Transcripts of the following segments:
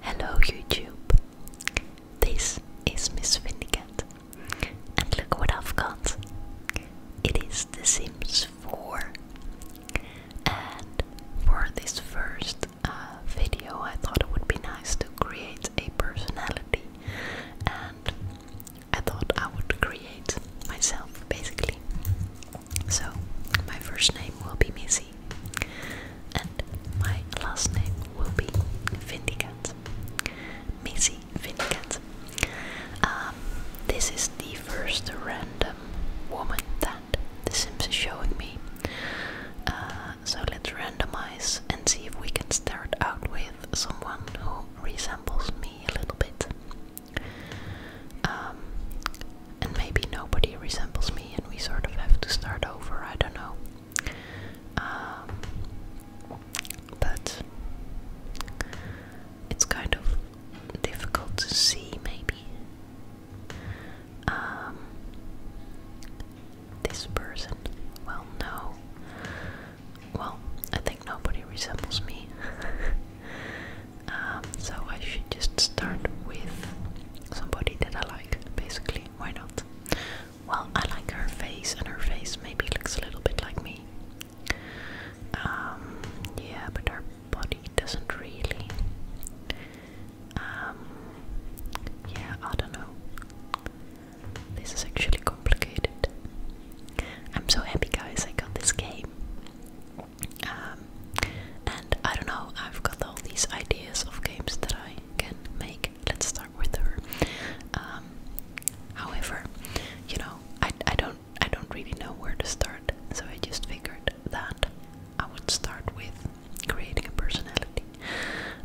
Hello YouTube, this is Miss Vindicat, and look what I've got. It is The Sims 4, and for this first uh, video I thought it would be nice to create a personality, and I thought I would create myself basically. So, my first name will be Missy. And my last name will be Vindicat. Missy Vindicat. Um, this is the first random woman that The Sims is showing me. Uh, so let's randomize and see if we can start out with someone who resembles me a little bit. Um, and maybe nobody resembles me and we sort of have to start over, I don't know. Um, but it's kind of difficult to see, maybe. Um, this person, well, no. Well, I think nobody resembles me. Um, so I should just start with somebody that I like, basically. Why not? Well, I like her face, and her face maybe looks a little bit like me. Um, yeah, but her body doesn't really. Um, yeah, I don't know. This is actually complicated. I'm so happy, guys, I got this game. Uh, and I don't know, I've got all these ideas of games that I can make. Let's start with her. Um, however, you know, I, I don't I don't really know where to start, so I just figured that I would start with creating a personality.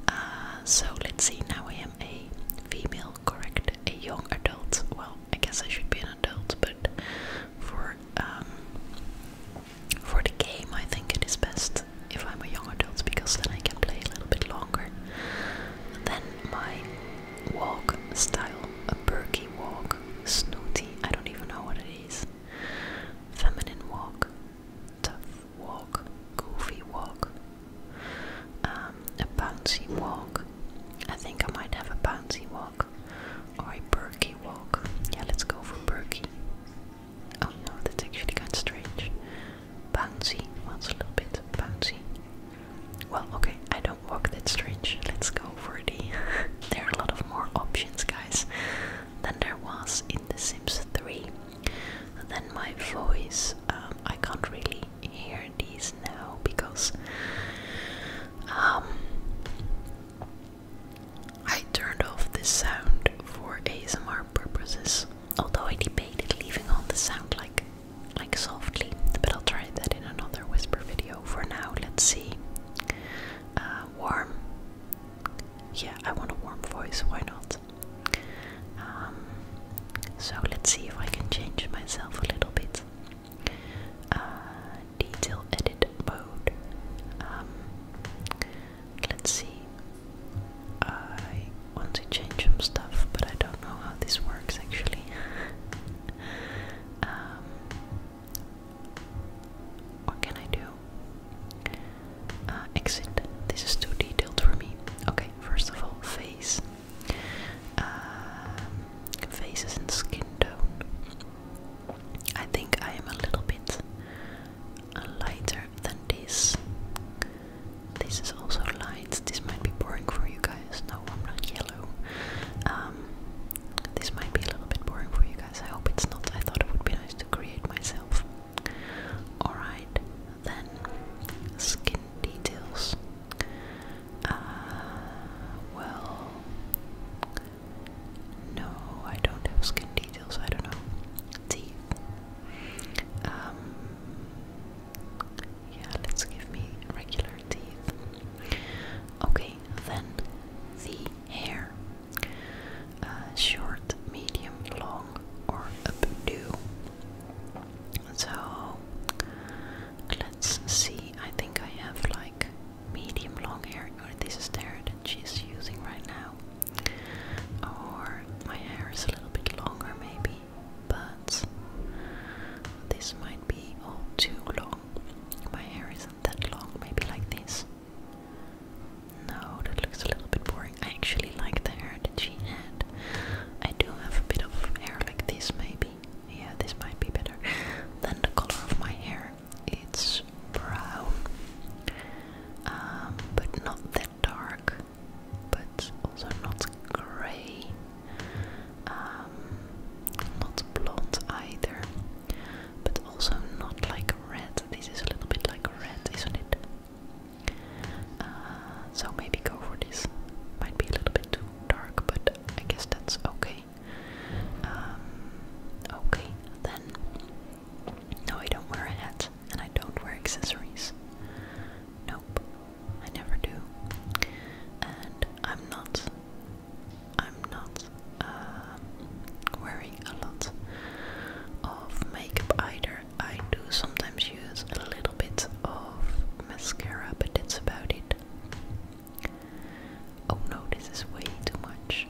Uh, so let's see. Now I am a female, correct? A young adult. Well, I guess I should be an adult, but for um, for the game, I think it is best if I'm a young adult because then I can play a little bit longer. Then my walk style, a perky walk, snooty, I don't even know what it is. Feminine walk, tough walk, goofy walk, um, a bouncy walk. I think I might have a bouncy walk or a perky walk. Yeah, let's go for perky. Oh no, that's actually kind of strange. Bouncy. Well, a little bit bouncy. Well, okay, I don't walk that strange. Let's go for the. there are a lot of more options, guys, than there was in The Sims 3. And then my voice, um, I can't really hear these now because. Um, I turned off this sound for ASMR purposes, although I debated leaving on the sound like like softly, but I'll try that in another whisper video. For now, let's see. Uh, warm. Yeah, I want a warm voice, why not? Um, so let's see if I can change myself a little bit. Uh, detail edit mode. Um, Let's see. I want to change some stuff, but I don't know how this works actually. Um, what can I do? Uh, exit. This is too detailed for me. Okay, first of all, face. Um, faces and skin tone. I think I am a little bit lighter than this. This is also light. This might be boring for you guys. No, I'm not yellow. Um, this might be a little bit boring for you guys. I hope it's not. I thought it would be nice to create myself. Alright, then skin details. Uh, well, no, I don't have skin details. I don't know. Teeth. Um, yeah, let's give me regular teeth. Okay, then the hair. Uh, short, medium, long, or updo. So let's see. I think I have like medium long hair. Or this is the hair that she's using right now. Or my hair is a little bit longer, maybe, but this might be all too long. My hair isn't that long, maybe like this. No, that looks a little bit boring. I actually like the hair that she had. I do have a bit of hair like this, maybe. Yeah, this might be better than the color of my hair its brown, um, but not that dark, but also not grey, um, not blonde either, but also not like red. This is a little bit like red, isn't it? Uh, so maybe go for this. Might be a little bit too dark, but I guess that's okay. Um, okay, then no, I don't wear a hat, and I don't wear accessories. Nope, I never do. And I'm not, I'm not uh, wearing a lot of makeup either. I do sometimes use a little bit of mascara, but that's about it. Oh no, this is way too much.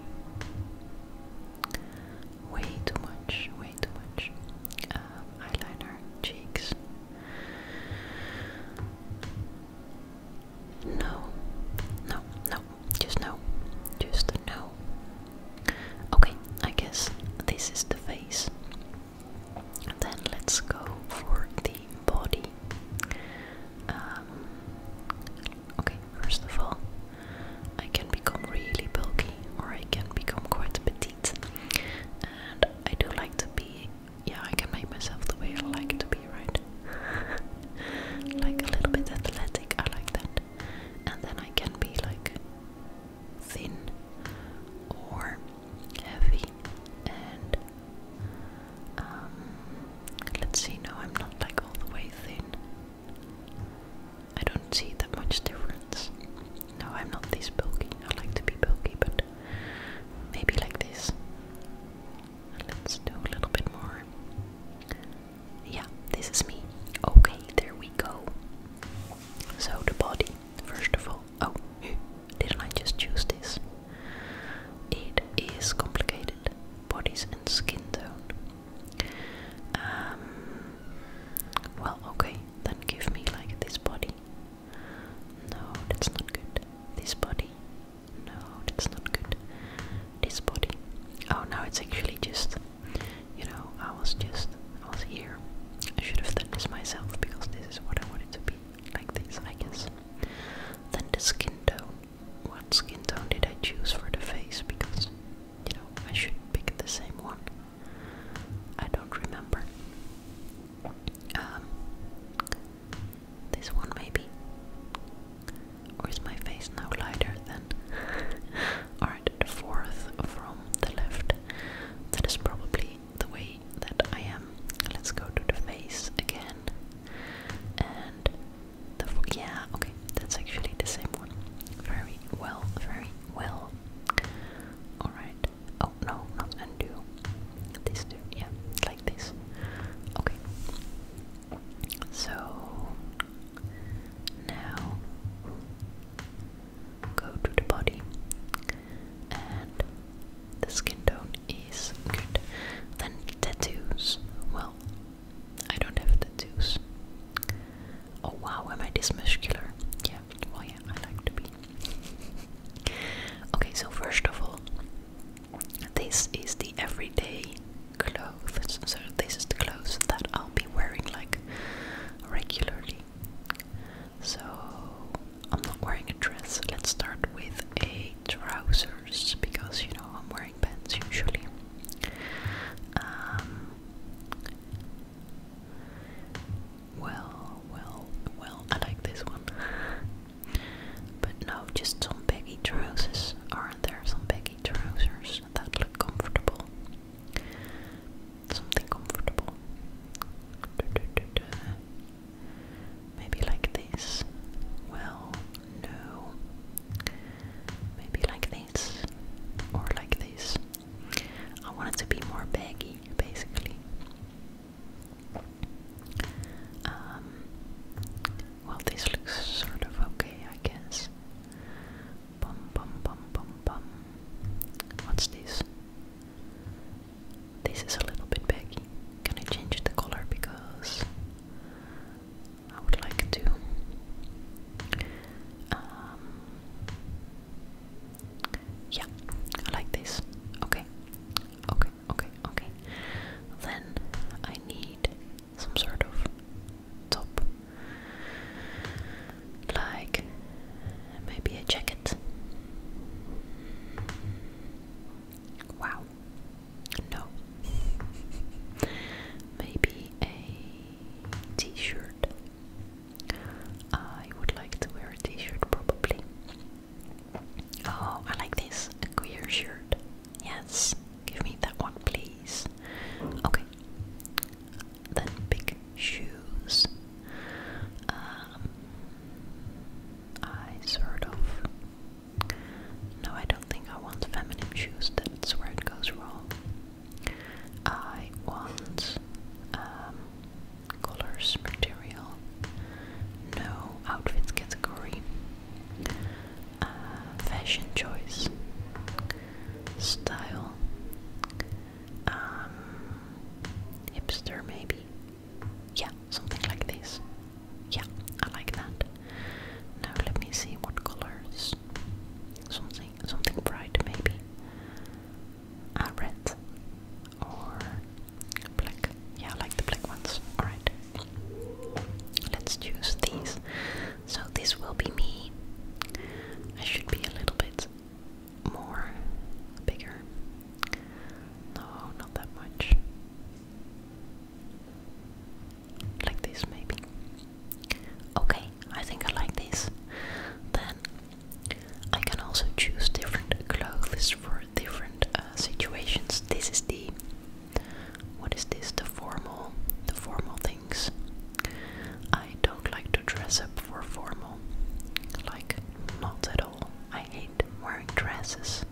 Way too much, way too much. Um, eyeliner, cheeks. No, no, no, just no, just no. Okay, I guess this is the face. Then let's go for the body. Um, Okay, first of all, I can become really bulky or I can become quite petite. And I do like to be, yeah, I can make myself the way I like to be, right? like a little bit athletic, I like that. And then I can be like thin or heavy and um, let's see no I'm not like all the way thin I don't see that much difference. No, I'm not this bulky. I like to be bulky, but maybe like this. Let's do a little bit more. Yeah, this is me. Okay, there we go. So, the body, first of all. Oh, didn't I just choose this? It is complicated bodies and skin tone. Um, well, okay, then give me like this body. No, that's not good. This body. No, that's not good. This body. Oh, now it's actually just, you know, I was just, I was here. I should have done this myself because this is what I wanted to be. Like this, I guess. Then the skin tone what skin tone did I choose for the face? Because, you know, I should pick the same one. I don't remember. Um, this one maybe? Or is my face now lighter than. Alright, the fourth from the left. That is probably the way that I am. Let's go to the face again. And the four yeah, okay, that's actually the same one. Very well, very well. Alright. Oh no, not undo. This two, yeah, like this. Okay. So now go to the body and the skin tone is good. Then tattoos. Well, I don't have tattoos. Oh wow, am I this Yeah, well yeah, I like to be. okay, so first of all, this is the everyday clothes. So this is the clothes that I'll be wearing like regularly. So I'm not wearing a dress. Let's start with a trouser because you know I'm wearing pants usually. Um, well, well, well, I like this one. but no, just some baggy trousers. Aren't there some baggy trousers that look comfortable? Something comfortable. Maybe like this. Well, no. Maybe like this. Or like this. I want it to be more baggy, basically. Um, well, this looks sort of okay, I guess. Bum bum bum bum bum. What's this? This is a little bit baggy. Can I change the color because I would like to. Um, yeah, like this. Okay, okay, okay, okay. Then I need some sort of top, like maybe a jacket. Wow, no. Maybe a t shirt. I would like to wear a t shirt probably. Oh, I like this. queer shirt. Yes. Give me that one, please. Okay. Then big shoes. Um, I sort of no, I don't think I want feminine shoes, that's where it goes wrong. I want um, colors, material, no outfit category, uh, fashion choice, style, um, hipster maybe. Yeah, something like this. Yeah, I like that. Now let me see what colors. Something something bright maybe. Ah, red or black. Yeah, I like the black ones. Alright. Let's choose these. So this will be me. I should be a little bit more bigger. No, not that much like this maybe. Okay, I think I like this. Then I can also choose different clothes for different uh, situations. This is the what is this? The formal, the formal things. I don't like to dress up for formal, like not at all. I hate wearing dresses.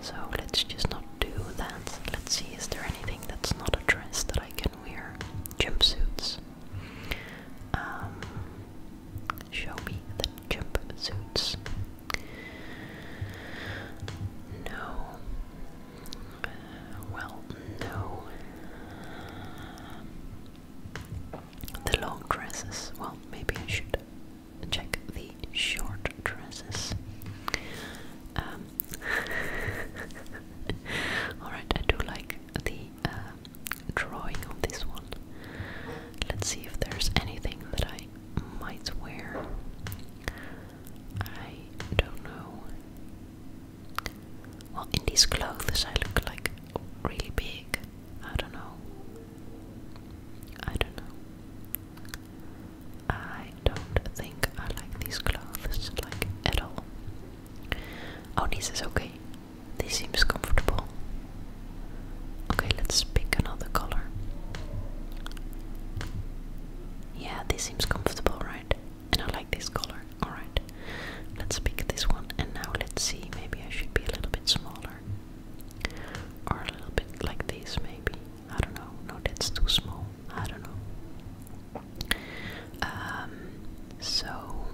So let's just not do that. Let's see, is there anything that's not a dress that I can wear? Jumpsuits. suits. Um, show me the jumpsuits. No. Uh, well, no. The long dresses. Well, maybe I should check the short dresses. Um, Alright, I do like the um, drawing of this one. Let's see if there's anything that I might wear. I don't know. Well, in these clothes, I look like really big. I don't know. I don't know. I don't think I like these clothes like at all. Oh, this is okay. This seems comfortable. Okay, let's pick another color. Yeah, this seems comfortable, right? And I like this color. Alright, let's pick this one. And now let's see, maybe I should be a little bit smaller. Or a little bit like this, maybe. I don't know. No, that's too small. I don't know. Um, so,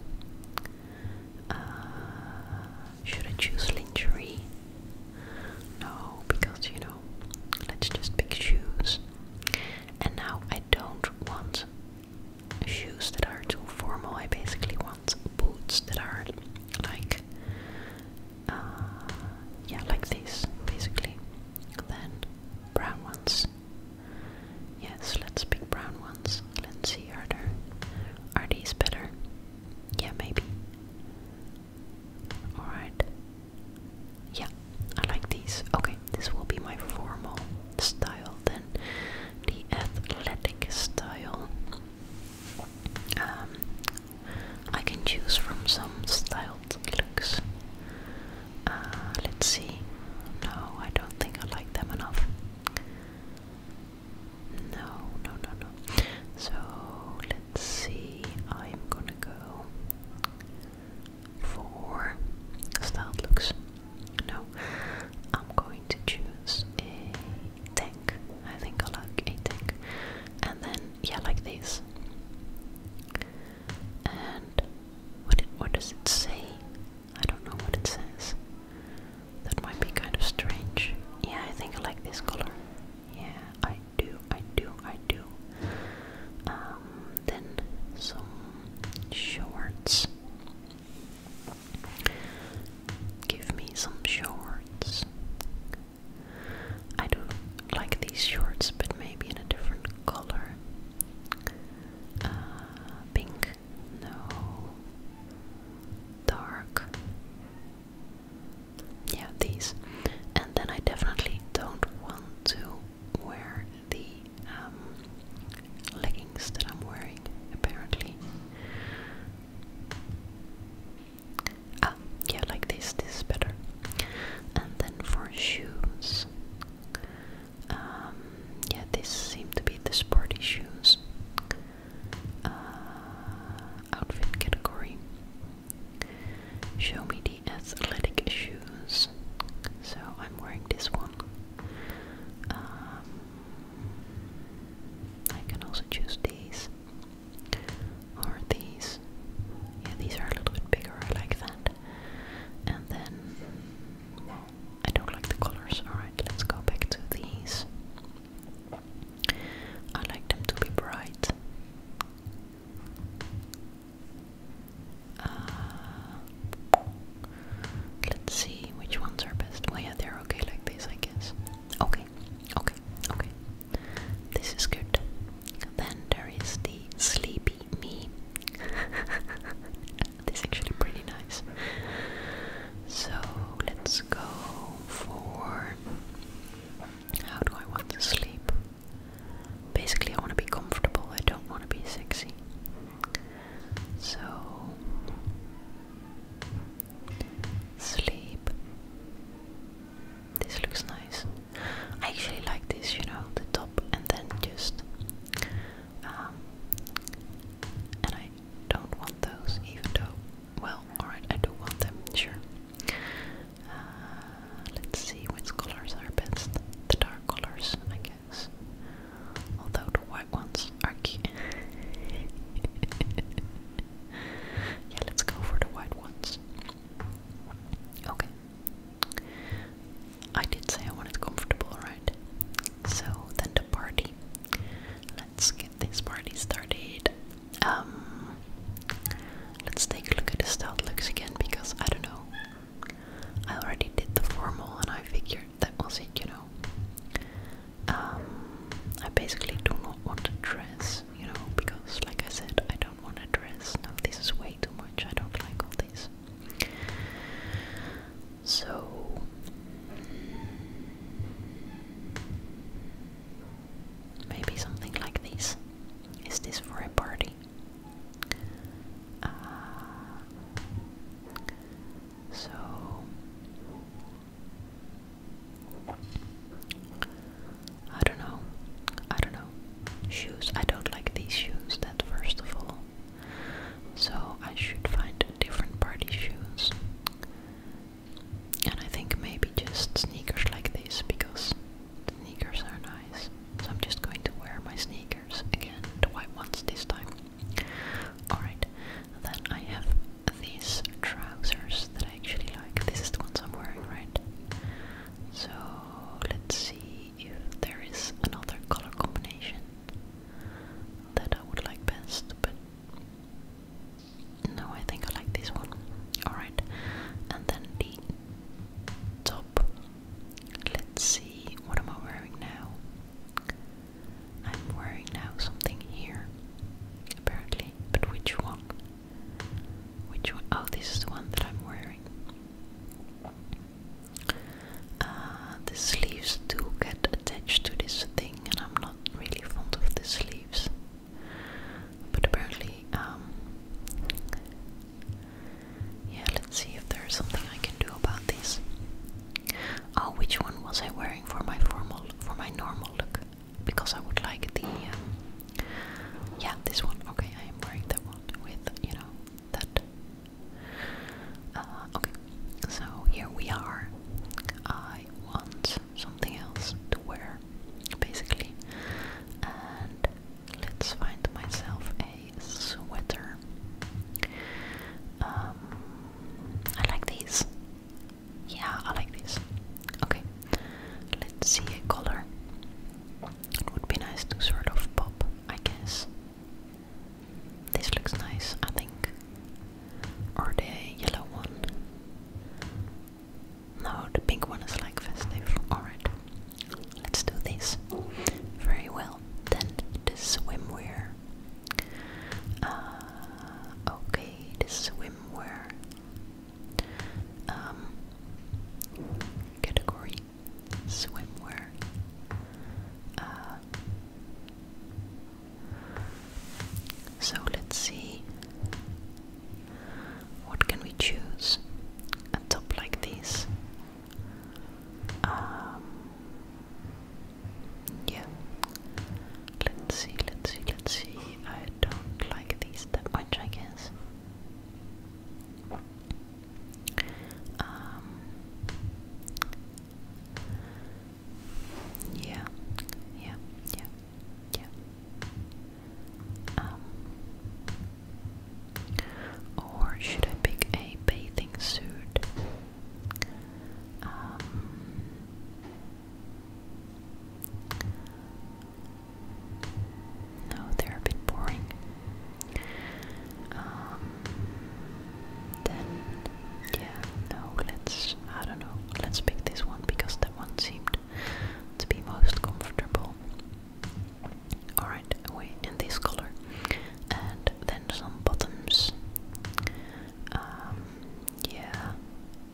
uh, should I choose lingerie? No, because you know, let's just pick shoes. And now I don't want shoes that are too formal. I basically want boots that are like uh, yeah, like these basically. Then brown ones. Yes, let's pick brown ones. Let's see, are there are these better? Yeah, maybe. Alright. Yeah, I like these. Okay, this will be my formal style then. The athletic style. Um, I can choose from some styled looks. Uh, let's see. No, I don't think I like them enough. No, no, no, no. So let's see. I'm gonna go for styled looks. No, I'm going to choose a tank. I think I like a tank and then yeah, like this. And what what does it say? I don't know what it says. That might be kind of strange. Yeah, I think I like this color. Yeah, I do, I do, I do. Um, then some shorts. Give me some shorts. I do like these shorts, but maybe in a different color. Uh, pink, no. Dark. Yeah, these. And then I definitely don't want to wear the um, leggings that I'm wearing, apparently. Ah, yeah, like this, this is better. And then for shoes, um, yeah, this seem to be the sporty shoes. Uh, outfit category. Show me the athletic shoes. So I'm wearing this one. Um, I can also choose these. Or these. Yeah, these are a little bit bigger, I like that. And then, I don't like the colors. Alright, let's go back to these. I like them to be bright. Uh, let's see which ones are best. Well, oh, yeah, they're okay like this, I guess. Okay, okay, okay. This is good. Then there is the sleepy me. this is actually pretty nice. So let's go for how do I want to sleep? Basically, I want to be comfortable, I don't want to be sexy. So, sleep. This looks nice. I actually like this, you know, the top and then just um, and I don't want those even though well, alright, I do want them, sure. Uh, let's see which colors are best. The dark colors, I guess. Although the white ones are cute. yeah, let's go for the white ones. Okay. I did say I wanted comfortable, right? So then the party. Let's get this party started. Um let's take a look at the stout looks again because I don't know. I already did the formal and I figured that was it, you know. Um I basically do not want a dress you know, because like I said, I don't want to dress. No, this is way too much. I don't like all this. So maybe something like this. Is this for a party? Uh, so I don't know. I don't know. Shoes. I don't like these shoes, that first of all. So I should find different party shoes. And I think maybe just sneakers like this because sneakers are nice. So I'm just going to wear my sneakers again, the white ones this time. Alright, then I have these trousers that I actually like. This is the ones I'm wearing, right? So let's see if there is another color combination that I would like best, but no, I think I like this one. Alright, and then the top. Let's see, what am I wearing now? I'm wearing now something here, apparently, but which one? Which one? Oh, this is the one that I'm wearing. Uh, the sleeves do get attached to this thing, and I'm not really fond of the sleeves. But apparently, um, yeah, let's see if there's something I can do about this. Oh, which one was I wearing for my formal, for my normal look? because I would like the um, yeah this one. Okay, I am wearing that one with you know that. Uh, okay, so here we are. I want something else to wear, basically, and let's find myself a sweater. Um, I like these. Yeah, I like this. Okay, let's see a color. It would be nice to sort of pop, I guess. This looks nice, I think. Or the yellow one. No, the pink one is like festive. Alright, let's do this. Very well. Then the swimwear. Uh, okay, the swimwear. Um, category swimwear. Uh, so let's see what can we choose a top like this. Um, yeah, Let's see, let's see, let's see. I don't like these that much, I guess. Um, yeah, yeah, yeah, yeah. Um, or should I pick a bathing suit? Um, no, they're a bit boring. Um, then, yeah, no, let's, I don't know, let's pick this one because that one seemed to be most comfortable. Alright, away in this color. And then some bottoms. Um, yeah,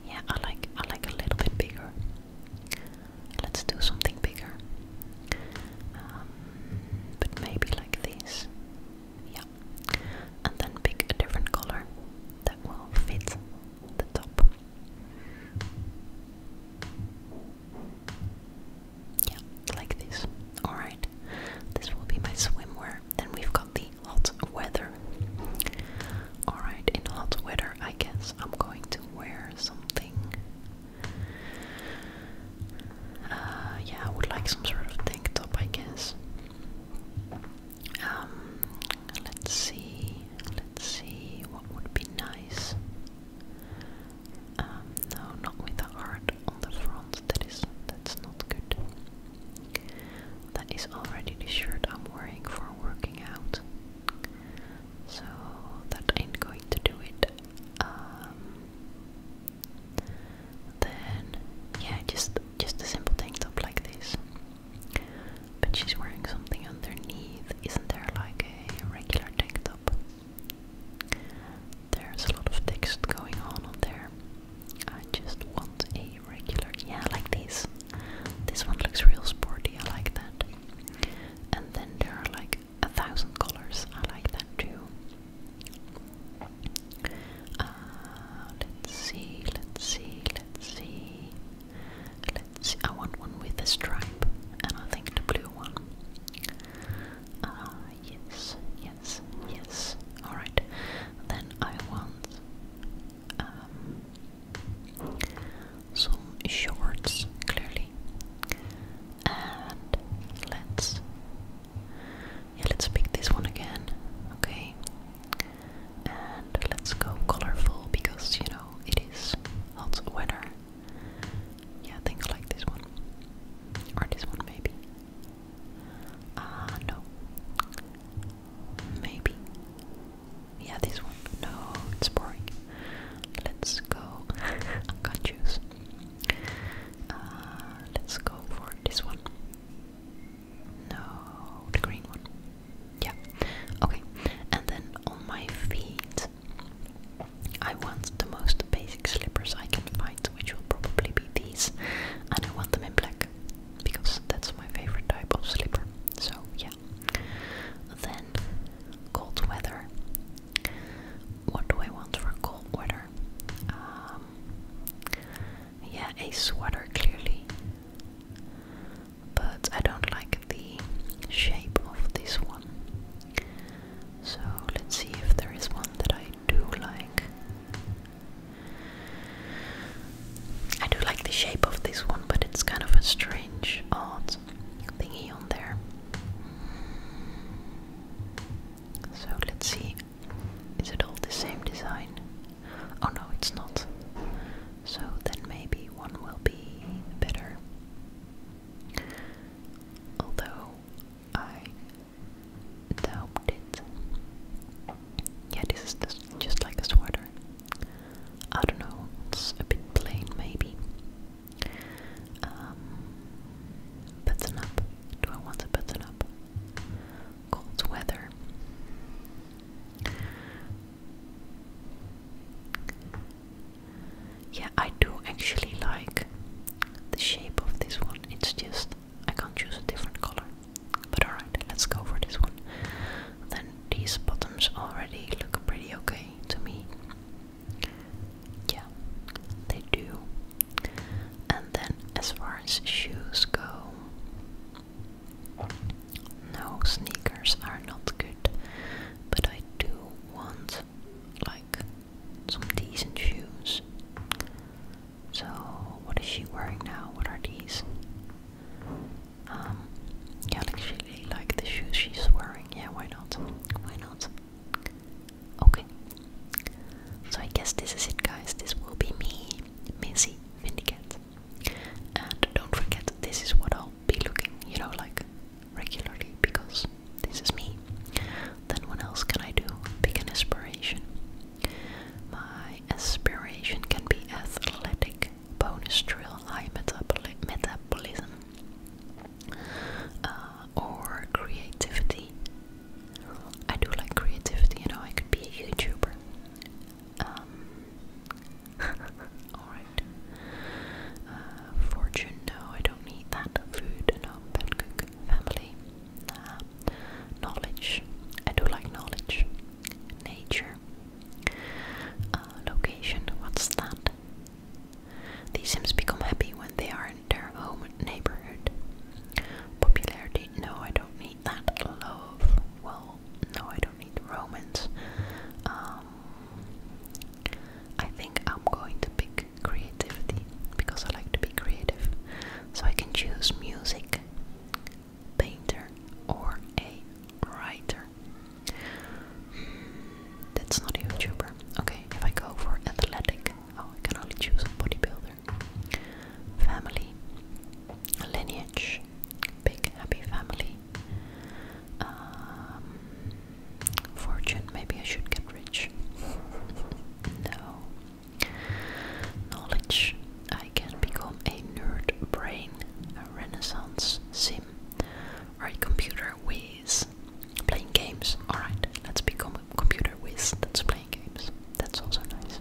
yeah, I like I like a little bit bigger. Let's do something bigger. Um, but maybe like this. Yeah. And then pick a different color that will fit the top. Yeah, like this. Alright. This will be my swimwear. Then we've got the hot weather. Alright, in hot weather, I guess I'm going to wear something. Uh, yeah, I would like some sort of tank top, I guess. Um, let's see, let's see what would be nice. Um, no, not with a heart on the front. That is, that's not good. That is already the shirt I'm wearing for working out. So that ain't going to do it. Um, then yeah, just just a simple tank top like this. But she's wearing something underneath. Isn't there like a regular tank top? There's a lot of text going on there. I just want a regular. Yeah, like this. This one looks real sporty. I like that. And then there are like a thousand colors. I like that too. Uh, let's see. Let's see. Let's see. Let's see. I want one with a stripe, and I think the blue one. Uh, yes. Yes. Yes. All right. Then I want um, some shorts clearly and let's yeah let's pick this one again okay and let's go colorful because you know it is hot weather yeah I like this one or this one maybe ah no maybe yeah, this one. No, it's boring. Let's go. I can't choose. let's go for this one. No, the green one. Yeah. Okay. And then on my feet, I want the most basic slippers I can find, which will probably be these. And I want them in black because that's my favorite type of slipper. So, yeah. Then, cold weather. What do I want for cold weather? Um, yeah, a sweater clearly. But I don't like the shape of this one. So let's see if there is one that I do like. I do like the shape of this one, but it's kind of a strange, odd thingy on there. So let's see. Is it all the same design? Oh no, it's not. So then maybe one will be better. Although I doubt it. Yeah, this is just like a sweater. I don't know, it's a bit plain maybe. Um, button up. Do I want a button up? Cold weather. Yeah, I do actually like the shape of this one. It's just I can't choose a different color. But alright, let's go for this one. Then these bottoms already look pretty okay to me. Yeah, they do. And then as far as shoes go, no, sneakers are not good. But I do want like some decent shoes. So, what is she wearing now? What are these? Um, yeah, like she like the shoes she's wearing. Yeah, why not? Why not? Okay. So I guess this is it, guys. This will be me, Missy Vindicat. And don't forget, this is what I'll be looking, you know, like regularly because this is me. Then what else can I do? Pick an aspiration. My aspiration can be athletic bonus drill eye metabolism uh, or creativity. I do like creativity, you know, I could be a YouTuber. Um, alright. Uh, fortune, no, I don't need that. Food, no, pet cook, family. Uh, knowledge, I do like knowledge. Nature. Uh, location, what's that? These Sims become happy when they are in their home neighborhood. Popularity, no, I don't need that. Love, well, no, I don't need romance. Um, I think I'm going to pick creativity because I like to be creative. So I can choose music, painter or a writer? Hmm, that's not a YouTuber. Okay, if I go for athletic, oh, I can only choose a bodybuilder. Family, lineage, big happy family. Um, fortune, maybe I should get rich. no. Knowledge, I can become a nerd brain, a renaissance sim, or a computer whiz. Playing games. Alright, let's become a computer whiz that's playing games. That's also nice.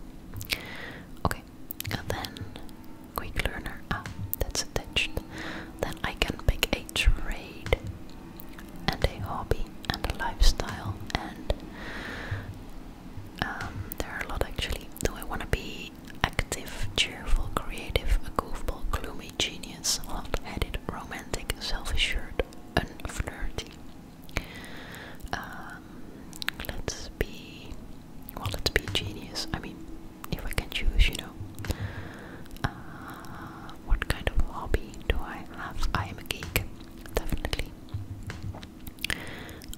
Okay, and then quick learner. Ah, that's attached. Then I can pick a trade and a hobby and a lifestyle and um, there are a lot actually. Do I want to be active, cheerful, creative, a goofball, gloomy, genius, hot-headed, romantic, self-assured, unflirty? flirty? Um, let's be. Well, let's be genius. I mean, if I can choose, you know. Uh, what kind of hobby do I have? I am a geek, definitely.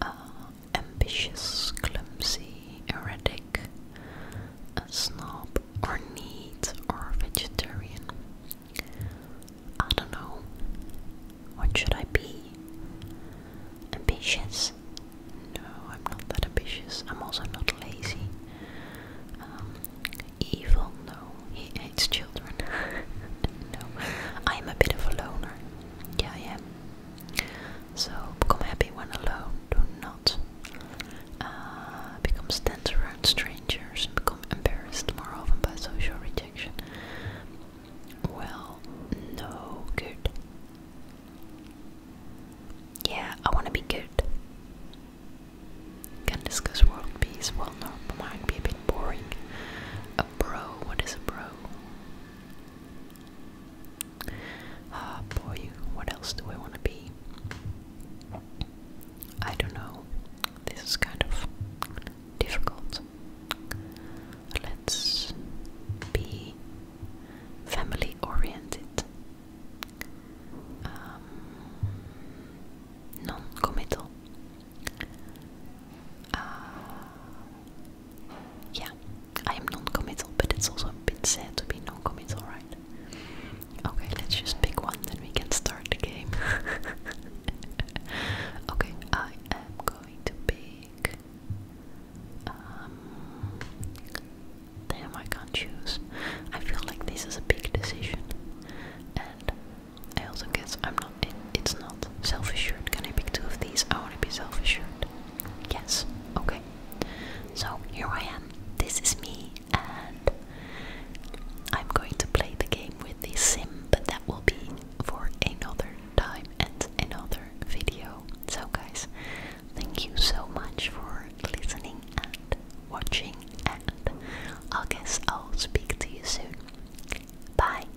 Uh, ambitious, clumsy, erratic, a snob, or neat, or vegetarian. I don't know. What should I be? Ambitious? No, I'm not that ambitious. I'm also not lazy. Um, evil? No, he hates children. no, I'm a bit of a loner. Yeah, I am. So become happy when alone. Do not uh, become tense around strangers and become embarrassed more often by social rejection. Well, no good. Yeah, I want to be good. Can discuss world peace. Well, no, might be a bit boring. A bro, what is a bro? Ah, boy, what else do I want to be? I don't know. This is kind of difficult. Let's be family oriented, um, non committal. Ah, yeah, I am non-committal, but it's also a bit sad to be non-committal, right? Okay, let's just pick one, then we can start the game. okay, I am going to pick. Um, damn, I can't choose. I feel like this is a big decision, and I also guess I'm not it's not self-assured. Can I pick two of these? I want to be self-assured. Yes. Okay. So here I am. This is me, and I'm going to play the game with the sim, but that will be for another time and another video. So guys, thank you so much for listening and watching, and I guess I'll speak to you soon. Bye.